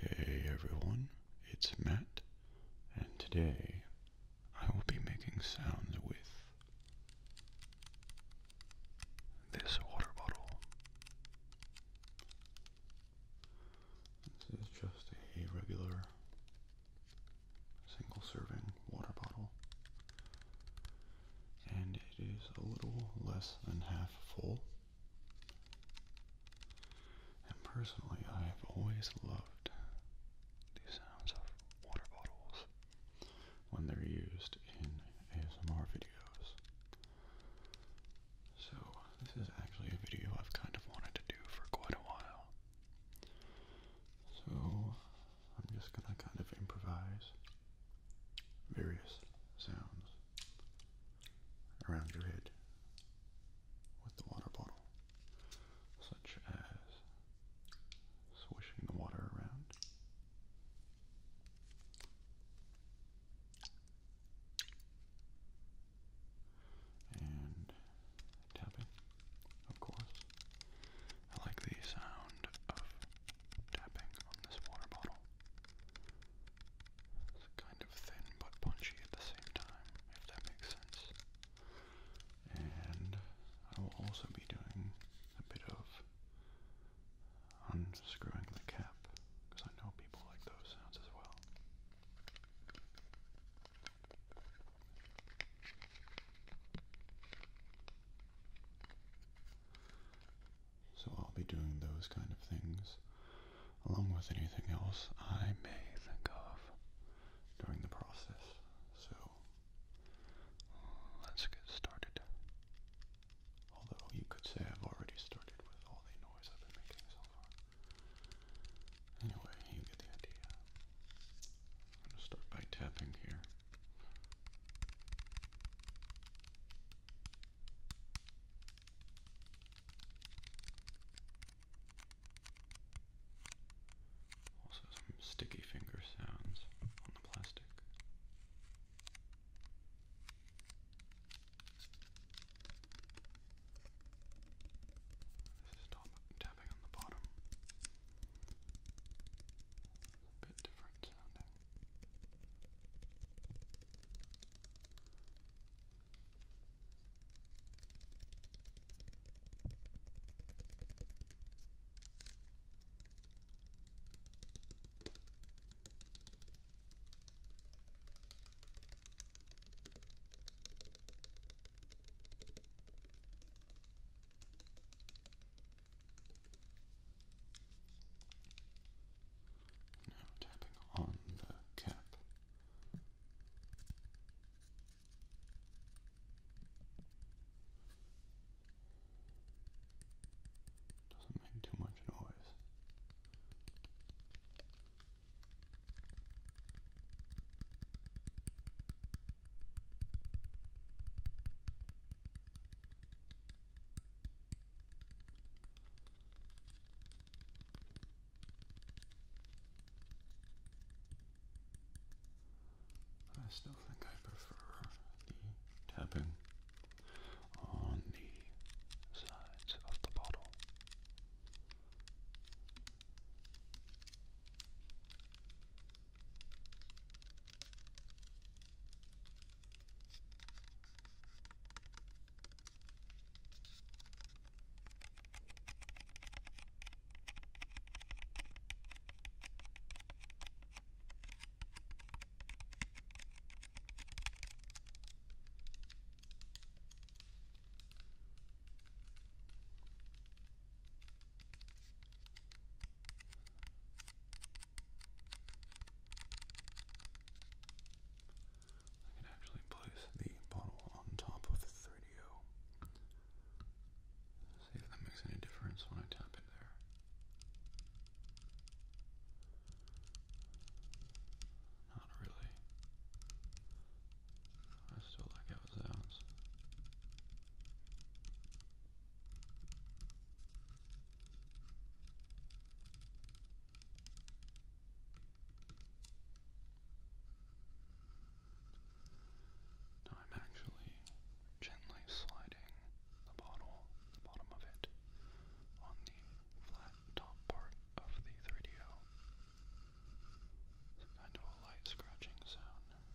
Hey everyone, it's Matt, and today I will be making sounds with this water bottle. This is just a regular single serving water bottle. And it is a little less than half full. And personally, I have always loved the sounds of water bottles when they're used in ASMR videos. So this is actually a video I've kind of wanted to do for quite a while. So, I'm just gonna kind of improvise various sounds around your head with the water bottle, such as swishing the water around and tapping, of course. I like the sound of tapping on this water bottle. It's kind of thin but punchy at the same time, if that makes sense. And I will also be doing a bit of unscrewing the cap, because I know people like those sounds as well. So I'll be doing those kind of things along with anything else I may think of during the process. So let's get started. Although you could say I've already started with all the noise I've been making so far. Anyway, you get the idea. I'm going to start by tapping here. Also, some sticky finger sounds on the plastic. This is top, tapping on the bottom. A bit different sounding. Now tapping on the cap. Doesn't make too much noise. I still think I prefer the tapping on the sides of the bottle. I can actually place the bottle on top of the 30O. See if that makes any difference when I tap it there. Not really. I still like how it sounds. Now I'm actually gently sliding the bottle, the bottom of it, on the flat top part of the 3DO. kind of a light scratching sound. It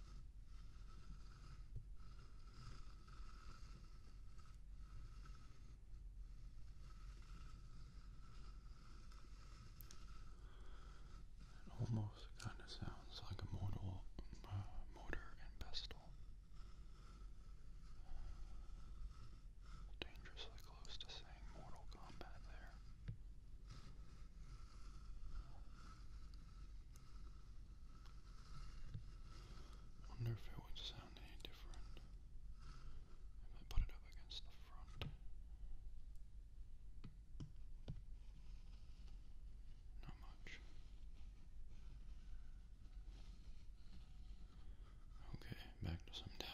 almost kind of sounds like a mortal uh, motor and pestle. Dangerously close to saying Mortal Kombat there. Wonder if it would sound any different if I put it up against the front. Not much. Okay, back to some tapping.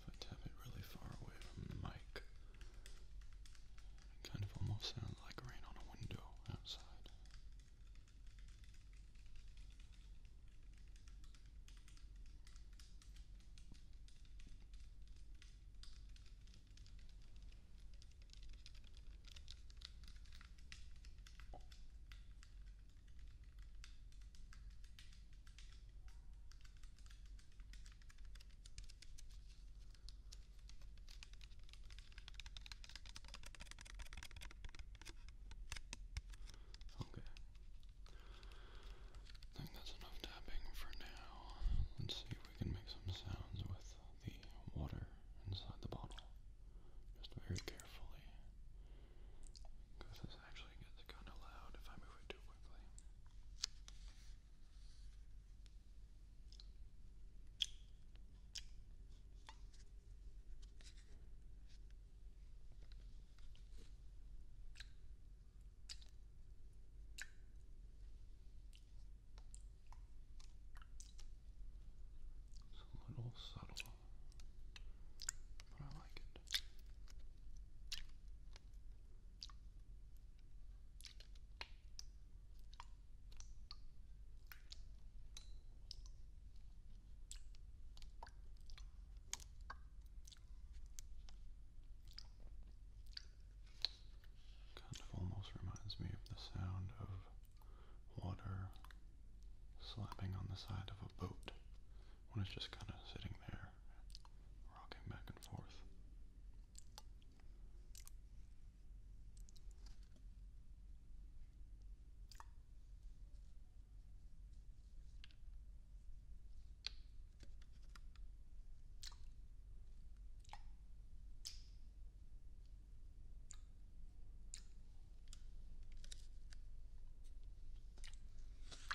If I tap it really far away from the mic, it kind of almost sounds like rain on a window outside. Okay. I think that's enough tapping for now. Let's see if we can make some sounds with the water inside the bottle. Just very carefully. Because this actually gets kind of loud if I move it too quickly. It's a little subtle, but I like it. Kind of almost reminds me of the sound of water slapping on the side of a boat when it's just kind of sitting there, rocking back and forth.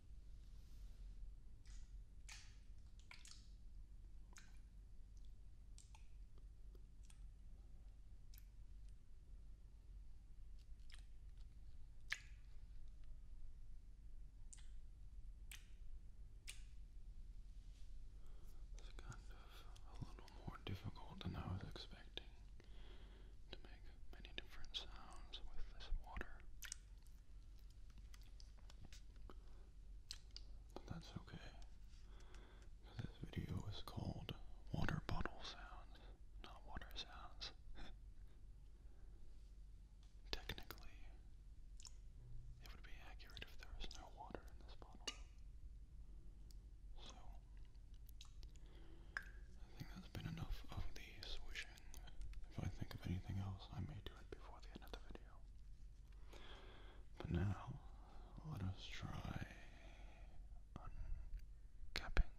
It's kind of a little more difficult than I was expecting to make many different sounds with this water. But that's okay. this video is called Water Bottle Sounds, not Water Sounds. Technically, it would be accurate if there was no water in this bottle. So, I think that's been enough of the swish if I think of anything else, I may do it before the end of the video. But now, let us try uncapping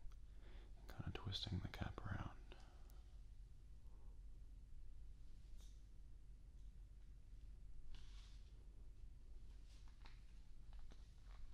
kind of twisting the cap around.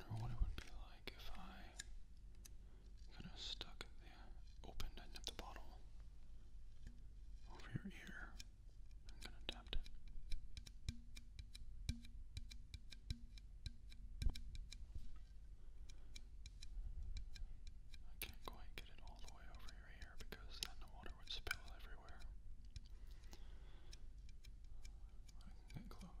I wonder what it would be like if I kind of stuck the open end of the bottle over your ear. I'm gonna tap it. I can't quite get it all the way over your ear because then the water would spill everywhere. I can get close.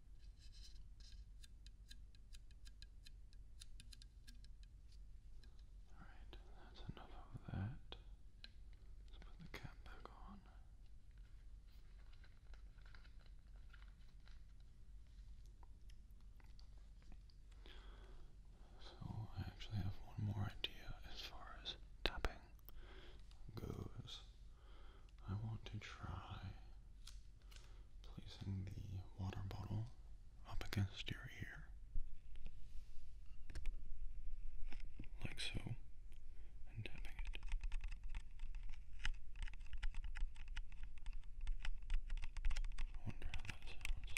Alright, that's enough of that. Let's put the cap back on. So, I actually have one more idea as far as tapping goes. I want to try placing the water bottle up against your ear. Like so, and tapping it. I wonder how that sounds.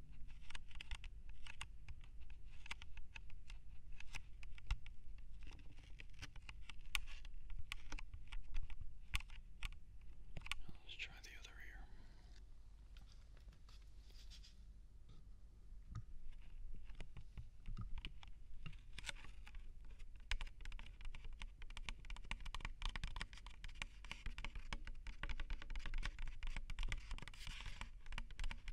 Now let's try the other ear.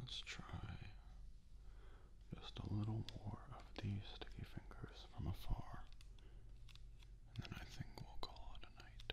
Let's try just a little more of these sticky fingers from afar, and then I think we'll call it a night.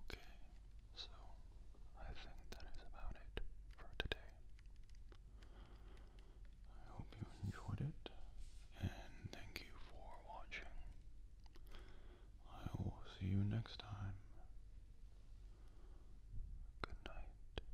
Okay, so I think that is about it for today. I hope you enjoyed it, and thank you for watching. I will see you next time. Good night.